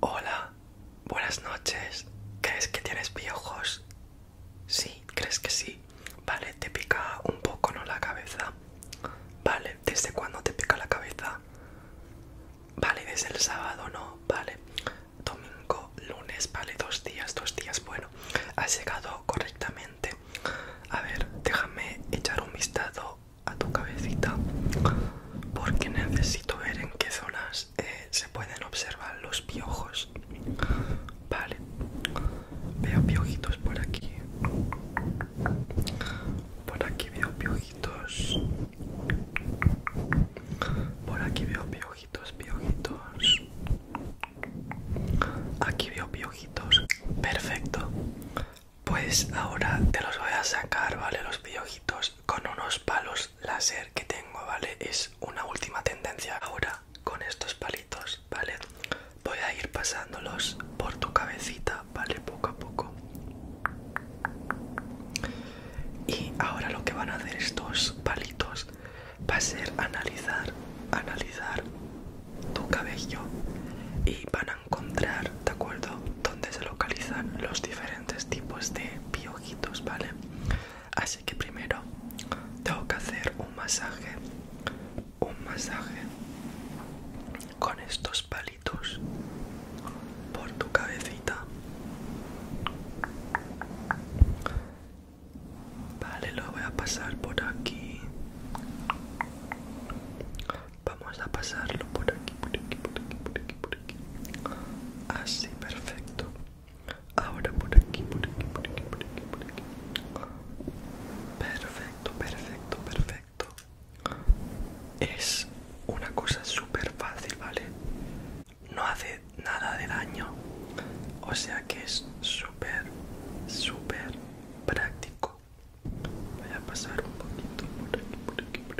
Hola, buenas noches. ¿Crees que tienes piojos? Sí, ¿crees que sí? Vale, te pica un poco, ¿no? La cabeza. Vale, ¿desde cuándo te pica la cabeza? Vale, desde el sábado, ¿no? Vale. Domingo, lunes, vale, dos días, dos días. Bueno, has llegado correctamente. A ver, déjame echar un vistazo a tu cabecita porque necesito ver en qué zonas eh, se pueden observar los piojos. Vale, veo piojitos por aquí. Por aquí veo piojitos. Por aquí veo piojitos, piojitos. Aquí veo piojitos. Perfecto. Pues ahora te los voy a sacar, ¿vale? Los piojitos con unos palos láser que tengo, ¿vale? Es una última tendencia. Ahora, con estos palitos, ¿vale? Voy a ir pasándolos por tu cabecita, ¿vale? Poco a poco. Y ahora lo que van a hacer estos palitos va a ser analizar, analizar tu cabello y van a encontrar, ¿de acuerdo? Dónde se localizan los diferentes tipos de piojitos, ¿vale? Así que primero tengo que hacer un masaje, un masaje con estos palitos por tu cabecita. Vale, lo voy a pasar por aquí. Vamos a pasarlo por aquí, por aquí, por aquí, por aquí, por aquí. Así, ah, perfecto. Ahora por aquí, por aquí, por aquí, por aquí, Perfecto, perfecto, perfecto. Es una cosa súper fácil, ¿vale? No hace nada de daño. O sea que es súper, súper práctico. Voy a pasar un poquito por aquí, por aquí, por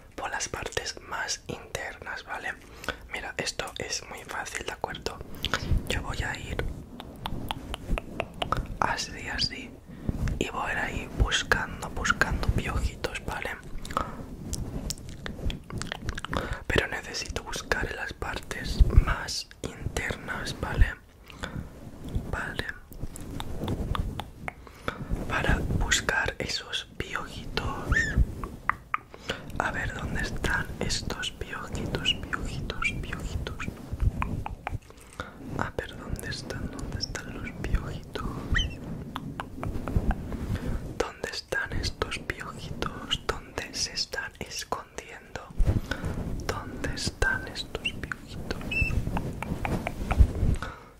por las partes más internas, ¿vale? Mira, esto es muy fácil, ¿de acuerdo? Yo voy a ir así, así, y voy a ir buscando, buscando piojitos, ¿vale? Pero necesito buscar en las partes más internas, ¿vale? Vale para buscar esos piojitos. A ver dónde están estos piojitos, piojitos, piojitos. A ah, ver dónde están, dónde están los piojitos. ¿Dónde están estos piojitos? ¿Dónde se están escondiendo? ¿Dónde están estos piojitos?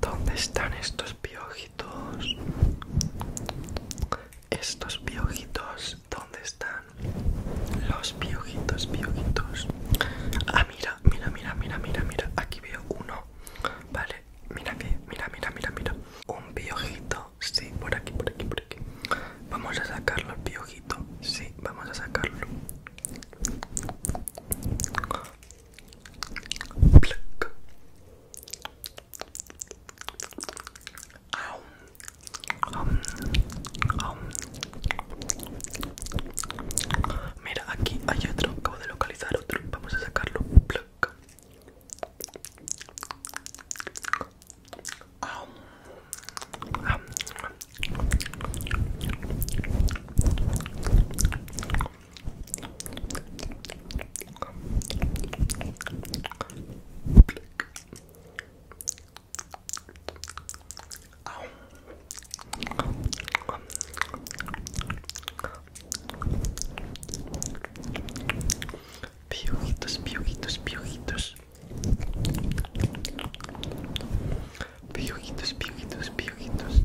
¿Dónde están estos piojitos? estos piojitos, ¿dónde están? Los piojitos, piojitos. Ah, mira, mira, mira, mira, mira, mira. Aquí veo uno. Vale, mira aquí, mira, mira, mira, mira. Un piojito, sí, por aquí, por aquí, por aquí. Vamos a sacarlo el piojito, sí, vamos a sacarlo. Mira, aquí hay otro, acabo de localizar otro, vamos a sacarlo. Piojitos, piojitos, piojitos. Piojitos, piojitos, piojitos.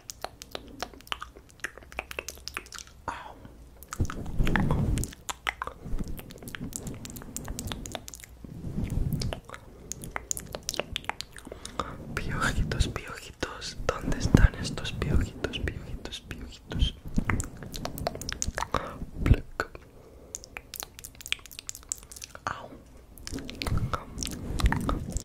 Piojitos, piojitos, ¿dónde están estos piojitos, piojitos, piojitos?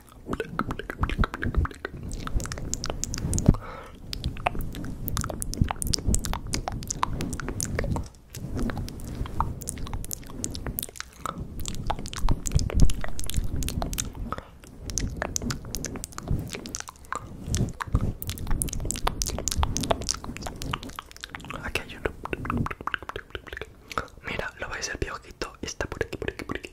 Aquí hay uno. Mira, lo vais ver, ver quito, Está por aquí, por aquí, por aquí.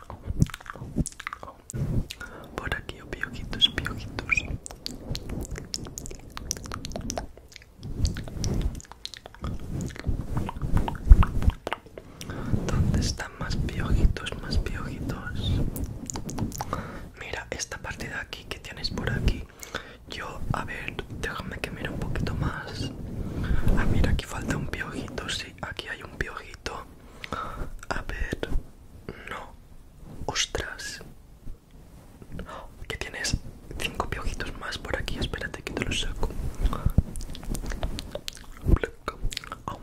Por aquí, piojitos, piojitos. ¿Dónde están más piojitos, más piojitos? Mira, esta parte de aquí que tienes por aquí. Yo, a ver, déjame que mire un poquito más. Ah, mira, aquí falta un piojito, sí aquí hay un piojito. A ver, no. Ostras. Que tienes cinco piojitos más por aquí. Espérate que te los saco. Oh. Oh. Oh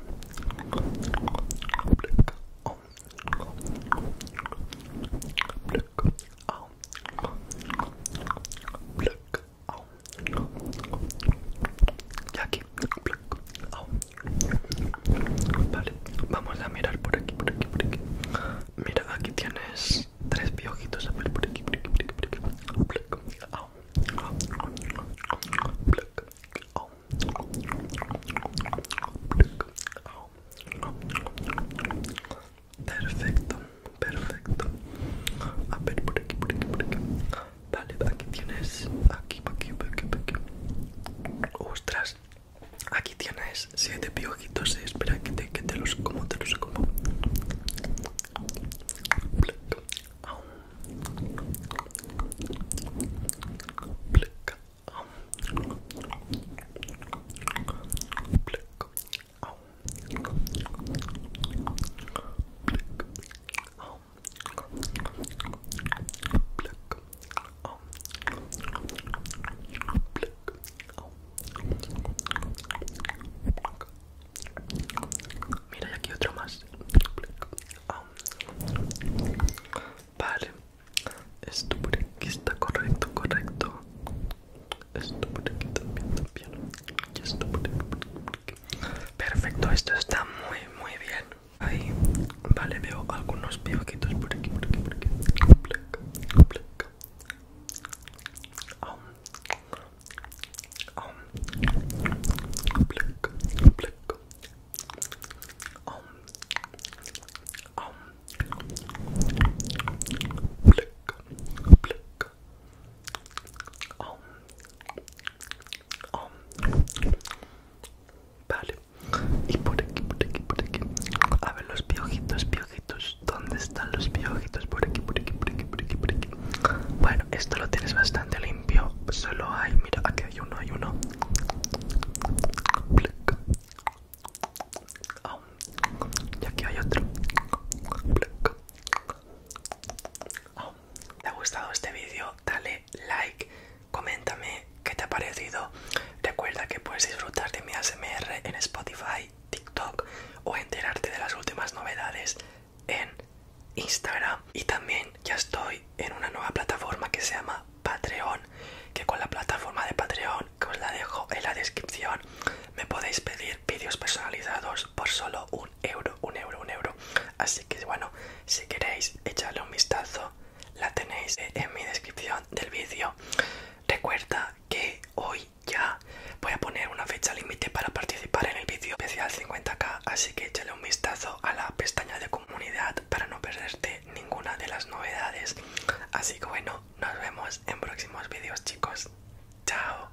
oh Vale, vamos a mirar por aquí, por aquí, por aquí. Mira, aquí tienes tres piojitos. A ver, por aquí, Perfecto, perfecto. A ver, por aquí, por aquí, por aquí. Vale, aquí tienes. Aquí, aquí, aquí, aquí. Ostras. Aquí tienes siete piojitos. Eh, espera que te, que te los como, te los como. Mira, y aquí otro más. Vale, esto por aquí está correcto, correcto. Esto por aquí también, también. esto por Perfecto, esto está muy muy bien. Ahí, vale, veo algunos pioquitos por aquí, por aquí, por aquí. Oh. Vale. Y por aquí, por aquí, por aquí. A ver los piojitos, piojitos. ¿Dónde están los piojitos? Por aquí, por aquí, por aquí, por aquí, por aquí. Bueno, esto lo tienes bastante limpio. Solo hay, mira, aquí hay uno, hay uno. Oh. Y aquí hay otro te ha gustado este vídeo, dale like, coméntame qué te ha parecido. Recuerda que puedes disfrutar de mi ASMR en Spotify, TikTok o enterarte de las últimas novedades en Instagram. Y también ya estoy en una nueva plataforma que se llama Patreon, que con la plataforma de Patreon, que os la dejo en la descripción, me podéis pedir vídeos personalizados por solo un euro, un euro, un euro. Así que bueno, si queréis echarle un vistazo, la tenéis e-, en mi descripción del vídeo. Recuerda que hoy ya voy a poner una fecha límite para participar en el vídeo especial 50k, así que échale un vistazo a la pestaña de comunidad para no perderte ninguna de las novedades. Así que bueno, nos vemos en próximos vídeos chicos. Chao.